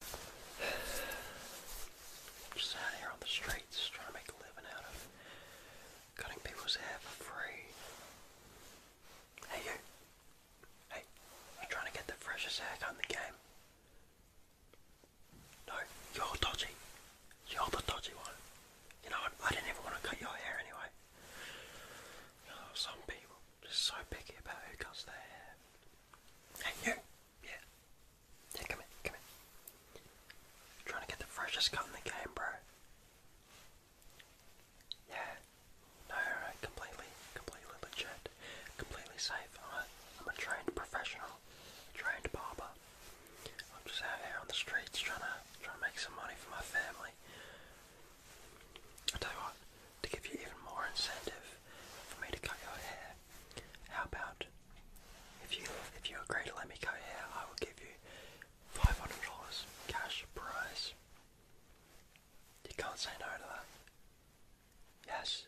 Just out here on the streets trying to make a living out of cutting people's hair for free. Hey you. Hey, you trying to get the freshest haircut in the game? No, you're dodgy. You're the dodgy one. You know, I didn't even want to cut your hair anyway. Oh, some people just so picky about who cuts their hair. And you, yeah. Yeah, come in, come in. I'm trying to get the freshest cut in the game, bro. Yeah. No, completely, completely legit, completely safe. I'm a trained professional, trained barber. I'm just out here on the streets trying to trying to make some money for my family. I tell you what, to give you even more incentive for me to cut your hair, how about if you if you agree to let me go here, I will give you five hundred dollars cash prize. You can't say no to that. Yes,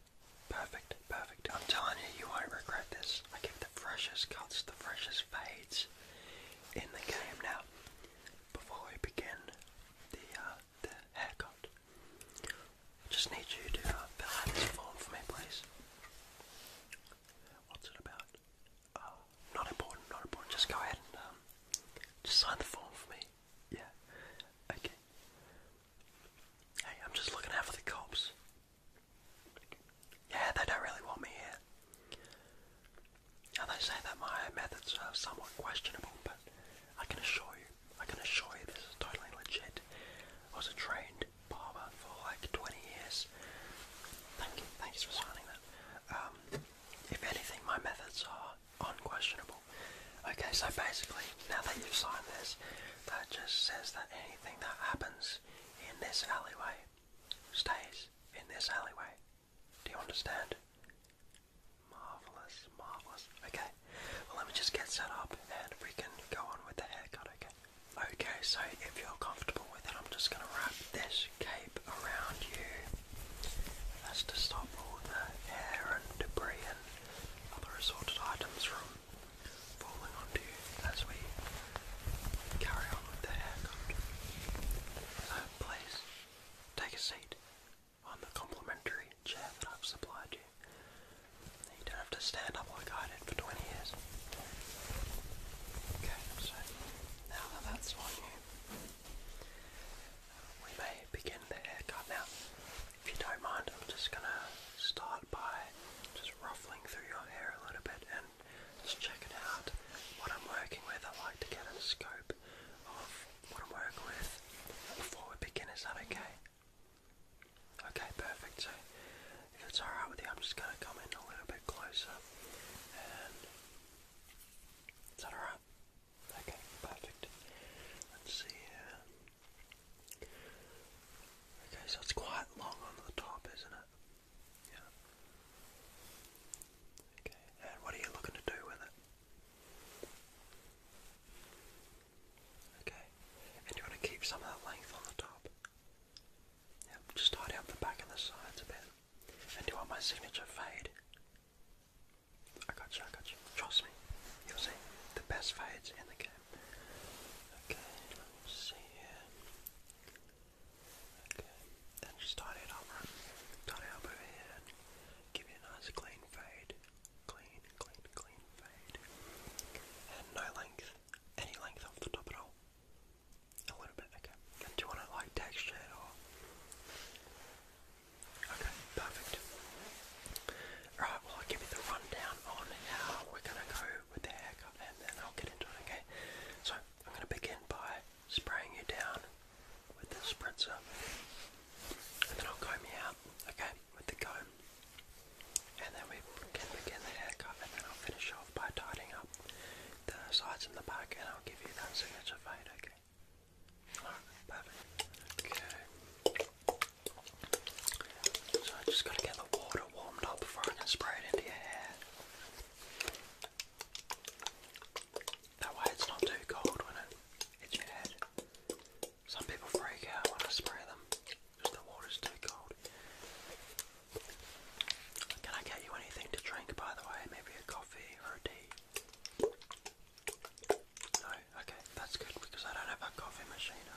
perfect, perfect. I'm telling you, you won't regret this. I give the freshest cuts, the freshest fades in the game. Now, before we begin the uh, the haircut, I just need you to uh, fill out this form for me, please. What's it about? Oh, not important, not important. Just go ahead and um, just sign the form for me. Yeah. Okay. Hey, I'm just looking out for the cops. Yeah, they don't really want me here. Now they say that my methods are somewhat questionable, but I can assure you I can assure you this is totally legit. I was a trained barber for like 20 years. Thank you, thanks for signing that. Um, if anything, my methods are unquestionable. Okay, so basically, now that you've signed this, that just says that anything that happens in this alleyway stays in this alleyway. Do you understand? Marvelous, marvelous. Okay, well, let me just get set up and we can go on with the haircut, okay? Okay, so if you're comfortable with it, I'm just going to wrap this cape around you. That's to stop all the hair and debris and other assorted items from falling onto you as we carry on with the haircut. So please take a seat on the complimentary chair that I've supplied you. You don't have to stand up like I did for 20 years. Okay, so now that that's on you, we may begin the haircut. Now, if you don't mind, I'm just gonna start by just ruffling through your hair a little bit and just checking out what I'm working with. I like to get a scope of what I'm working with before we begin. Is that okay? Okay, perfect. So, if it's alright with you, I'm just going to come in a little bit closer. And. Is that alright? Okay, perfect. Let's see here. Okay, so it's quite long on the top, isn't it? Yeah. Okay, and what are you looking to do with it? Okay, and you want to keep some of that length on the top. Yep, just tidy up the back and the sides a bit. And do you want my signature fade? I got you, I got you. Trust me, you'll see the best fades in the game. Okay, let's see here. Okay, then just tidy it up, right? Tidy it up over here. Give you a nice clean fade clean, clean, clean fade. And no length, any length off the top at all. A little bit, okay. do you want it like textured or? Okay, perfect. Right, well I'll give you the rundown on how we're gonna go with the haircut and then I'll get into it, okay? So, I'm gonna begin by spraying you down with the spritzer and then I'll comb you out, okay? With the comb and then we can begin the haircut, and then I'll finish off by tidying up the sides and the back, and I'll give you that signature fade, okay? perfect. Okay. So I just gotta get the water warmed up before I spray it into your hair. That way it's not too cold when it hits your head. Some people freak out when I spray them because the water's too cold. Can I get you anything to drink, by the way? Maybe a coffee or a tea? No? Okay, that's good because I don't have a coffee machine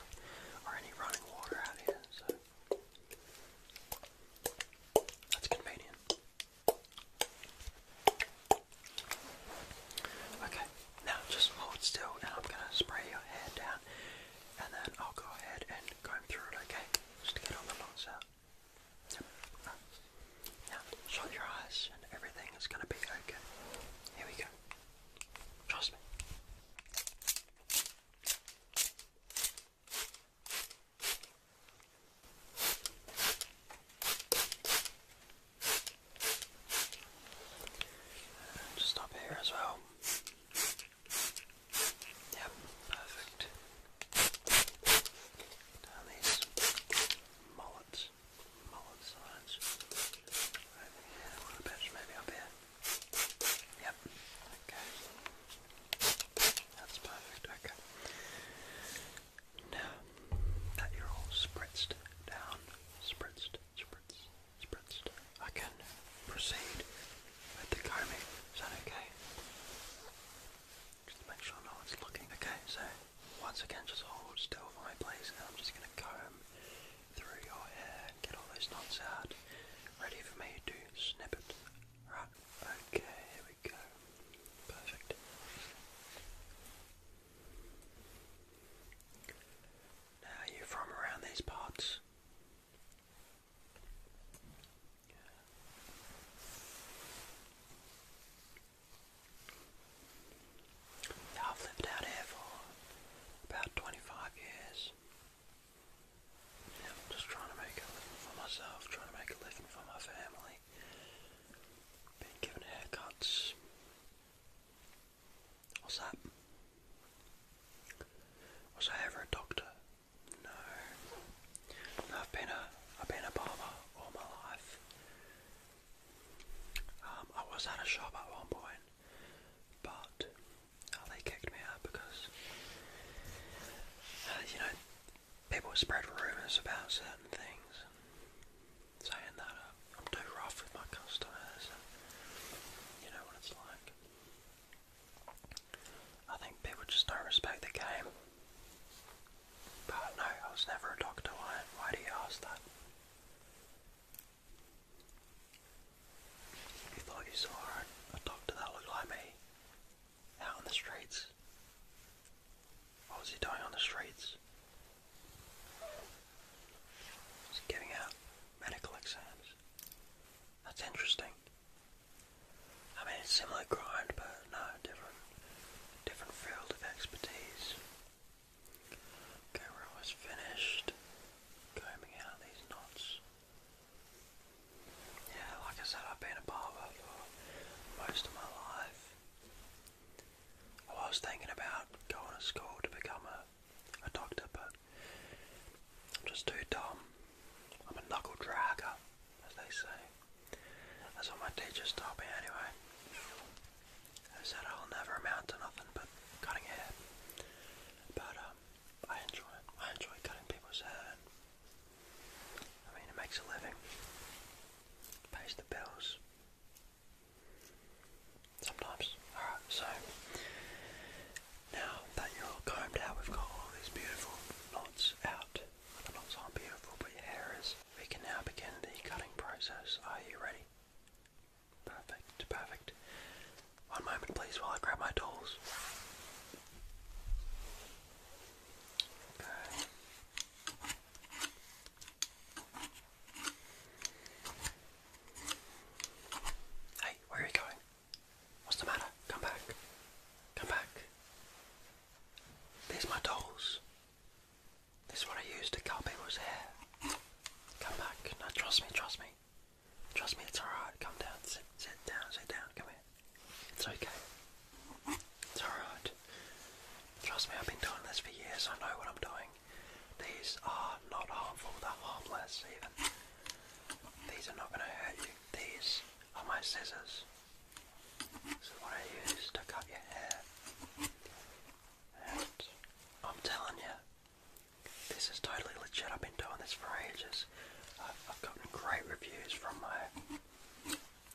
or any running water out here, so that's convenient. Okay, now just hold still and I'm going to spray your hair down and then I'll go ahead and comb through it, okay? Just to get all the knots out. Yep. shut your eyes and everything is going to be okay. Here we go. Trust me just up here as well. Yep, perfect. Down these mullets, mullet sides. Over here, a bit, maybe up here. Yep, okay. That's perfect, okay. Now that you're all spritzed down, spritzed, spritzed, spritzed. I can proceed with the combing. Is that okay? Just make sure no one's looking. Okay, so once again, just hold still for my place, and I'm just going to comb through your hair and get all those knots out. Ready for me to snip it. Right. Okay, here we go. Perfect are you from around these parts? I've lived out here for about 25 years. just trying to make a living for myself, trying to make a living for my family. Been given haircuts. What's that? Was I ever a doctor? No. I've been a I've been a barber all my life. Um, I was at a shop at one point, but uh, they kicked me out because uh, you know people spread rumours about certain things saying that uh, I'm too rough with my customers you know what it's like. I think people just don't respect the game. But no, I was never a doctor. Why, why do you ask that? You thought you saw a doctor that looked like me out in the streets? was he doing on the streets? giving out medical exams. That's interesting. I mean, it's similar grind, but no, different, different field of expertise. Okay, we're almost finished combing out these knots. Yeah, like I said, I've been a barber for most of my life. I was thinking about going to school to become a a doctor, but I'm just too dumb. I'm a knuckle dragger, as they say. That's what my teachers taught me anyway. They said I'll never amount to nothing but cutting hair. But um, I enjoy it. I enjoy cutting people's hair. I mean, it makes a living, pays the bills. Sometimes. Alright, so now that you're all combed out, we've got all these beautiful knots out. the knots aren't beautiful, but your hair is. We can now begin the cutting process. Are you ready? Perfect, perfect. One moment, please, while I grab my tools. Hey, where are you going? What's the matter? Come back. Come back. These are my dolls. This is what I use to cut people's hair. Come back. Now trust me, trust me. Trust me, it's alright. Come down. Sit, sit down, sit down. Come here. It's okay. It's alright. Trust me, I've been doing this for years. I know what I'm doing. These are not harmful, they're harmless even. These are not going to hurt you. These are my scissors. This is what I use to cut your hair. And I'm telling you, this is totally legit. I've been doing this for ages. I've, gotten great reviews from my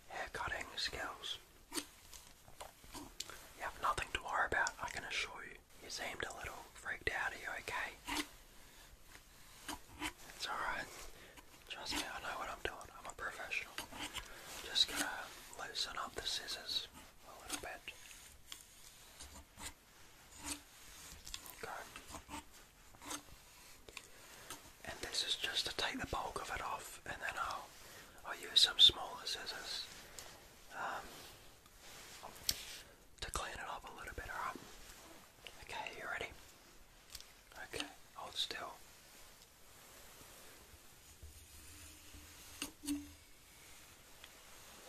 hair cutting skills. You have nothing to worry about, I can assure you. You seemed a little freaked out. Are you okay? It's alright. Trust me, I know what I'm doing. I'm a professional. Just gonna loosen up the scissors a little bit. Okay. And this is just to take the bulk of it off, and then I'll I'll use some smaller scissors. Um, to clean it up a little bit, alright? Okay, you ready? Okay, hold still.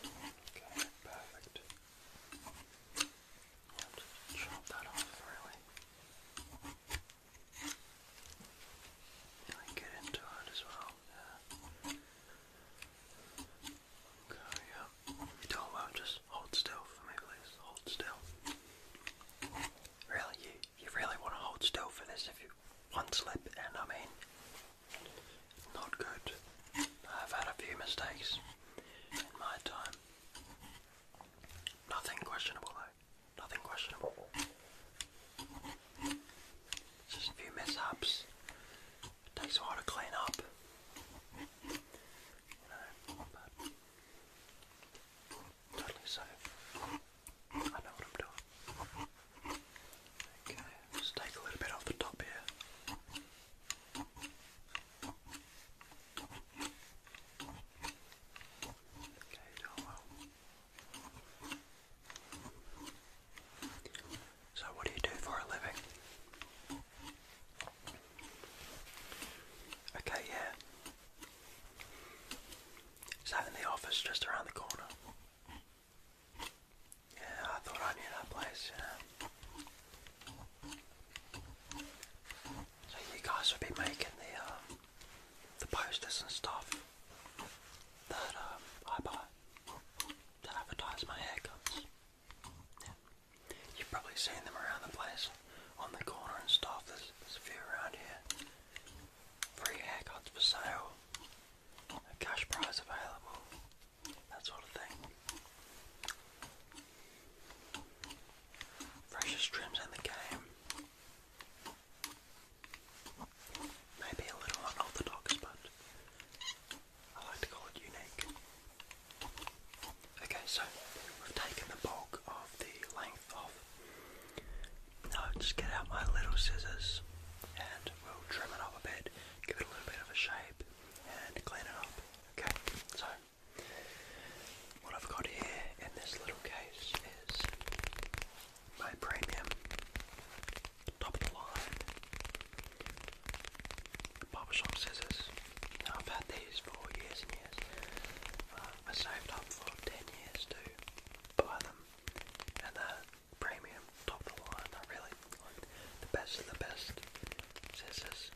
Okay, perfect. chop that off Really get into it as well. Yeah. Okay, yeah. You're doing well. Just hold still for me, please. Hold still. Really, you, you really want to hold still for this if you one slip, and I mean, not good. I've had a few mistakes in my time. Nothing questionable, though. Nothing questionable. Just a few mishaps. takes a while to clean up. totally so. I know what I'm doing. Okay, just take a little bit off the top here. Okay, doing so, what do you do for a living? Okay, yeah. Sat in the office just around the corner. Yeah, I thought I knew that place, yeah. So you guys will be making the um, the posters and stuff that um, I buy that advertise my haircuts. Yeah. You've probably seen them around the place, on the corner and stuff. There's, there's a few around here. Free haircuts for sale, a cash prize available, that sort of thing. Freshest trims in the game. Maybe a little unorthodox, but I like to call it unique. Okay, so we've taken the bulk of the length off. Now just get out my little scissors and we'll trim it up a bit, give it a little bit of a shape and clean it up. Okay, so what I've got here in this little case is my premium Top of the line. Barbershop scissors. Now I've had these for years and years. Uh, I saved up for 10 years to buy them. And they're premium, top of the line. They're really like the best of the best scissors.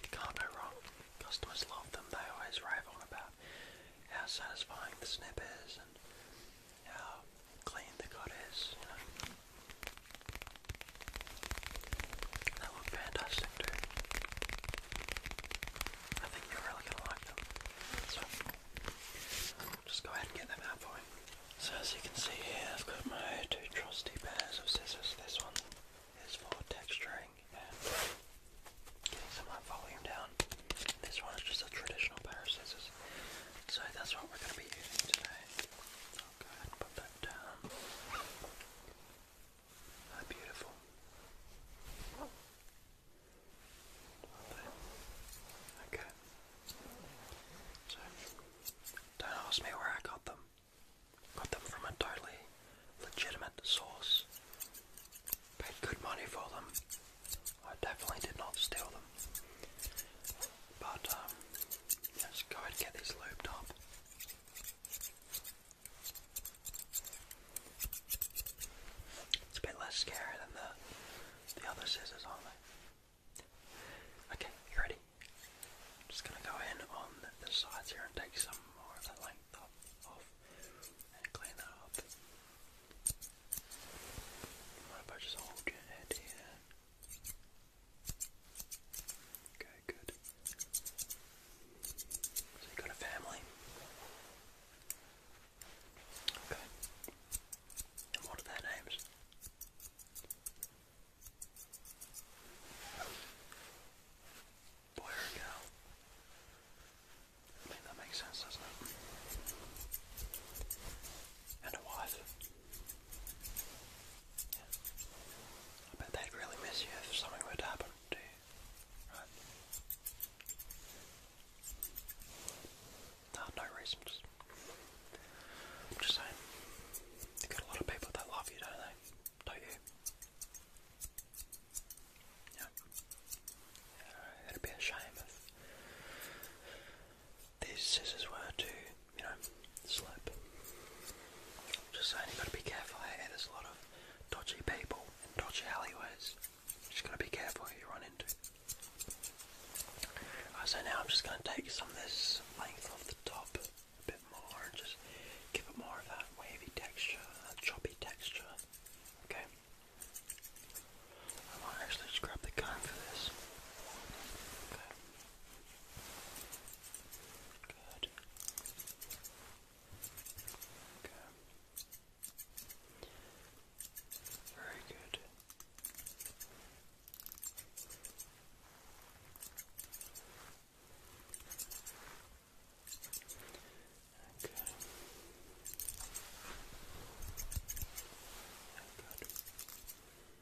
You can't go wrong. Customers love them. They always rave on about how satisfying the snip is and how clean the gut is, you know. They fantastic too. I think you're really gonna like them. So just go ahead and get them out for you. So as you can see here I've got my two trusty pairs of scissors. This one is for texturing and getting some of my volume down. This one is just a traditional pair of scissors. So that's what we're going to be using today. I'll go ahead and put that down. Ah, beautiful. Okay. So, don't ask me where I got them. Got them from a totally legitimate source. Paid good money for them. I definitely did not steal them. But um, let's go ahead and get this lubed up. It's a bit less scary than the the other scissors, aren't they? Okay, you ready? I'm just gonna go in on the sides here and take some more of the length off and clean that up. What if I just hold your head here? Okay, good. So you got a family? Okay. And what are their names? Boy or girl? I mean, that makes sense, doesn't it? And a wife. I bet they'd really miss you if something were to happen to you. Right? No, no I'm just saying. You got a lot of people that love you, don't they? Don't you? yeah. It'd be a shame if these scissors were to you know, slip. Just saying, you got to be careful There's a lot of dodgy people and dodgy alleyways. Just got to be careful who you run into. so now I'm just going to take some of this length off the top a bit more and just give it more of that wavy texture, that choppy texture. Okay. I want to actually just grab the gun for this. Okay. Good. Okay. Very good. Okay. Good.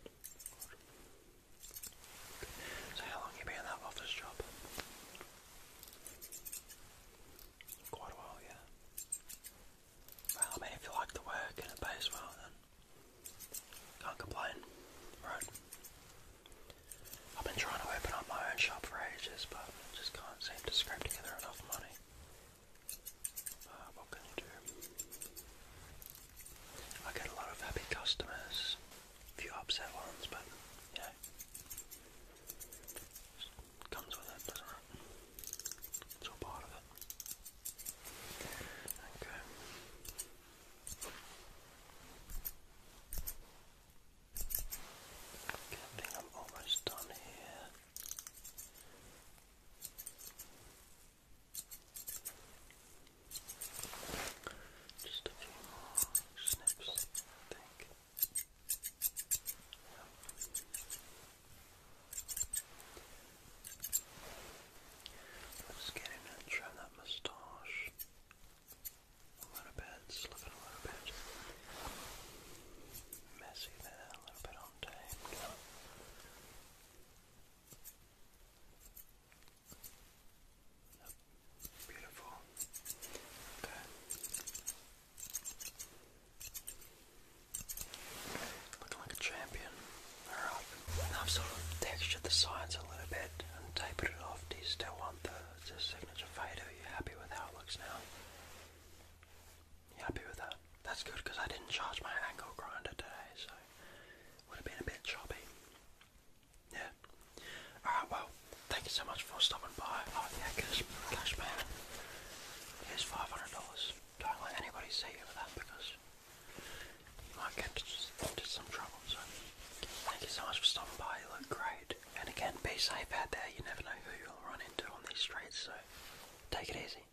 So how long you been in that office job? Quite a while, yeah. Well, I mean, if you like the work and it pays well, then can't complain, right? I've been trying to open up my own shop for ages, but just can't seem to scrape together enough money. Uh, what can you do? I get a lot of happy customers, a few upset ones, but you comes with it, doesn't it? It's all part of it. Okay, I think I'm almost done here. Just a few more snips, I think. Let's in trim that moustache a little bit, slip a little bit. Messy there, a little bit untamed. Beautiful. Okay. Looking like a champion. Alright. I've sort of textured the sides a little bit and tapered it off. Do you still want the, signature fade? Are you happy with how it looks now? You happy with that? that's good because I didn't charge my angle grinder today, so would have been a bit choppy. Yeah. Alright, well, thank you so much for stopping by. Oh, yeah, cash, cash man. Here's $500. Don't let anybody see you with that because you might get into some trouble. So, thank you so much for stopping by. You look great. And again, be safe out there. You never know who you'll run into on these streets, so take it easy.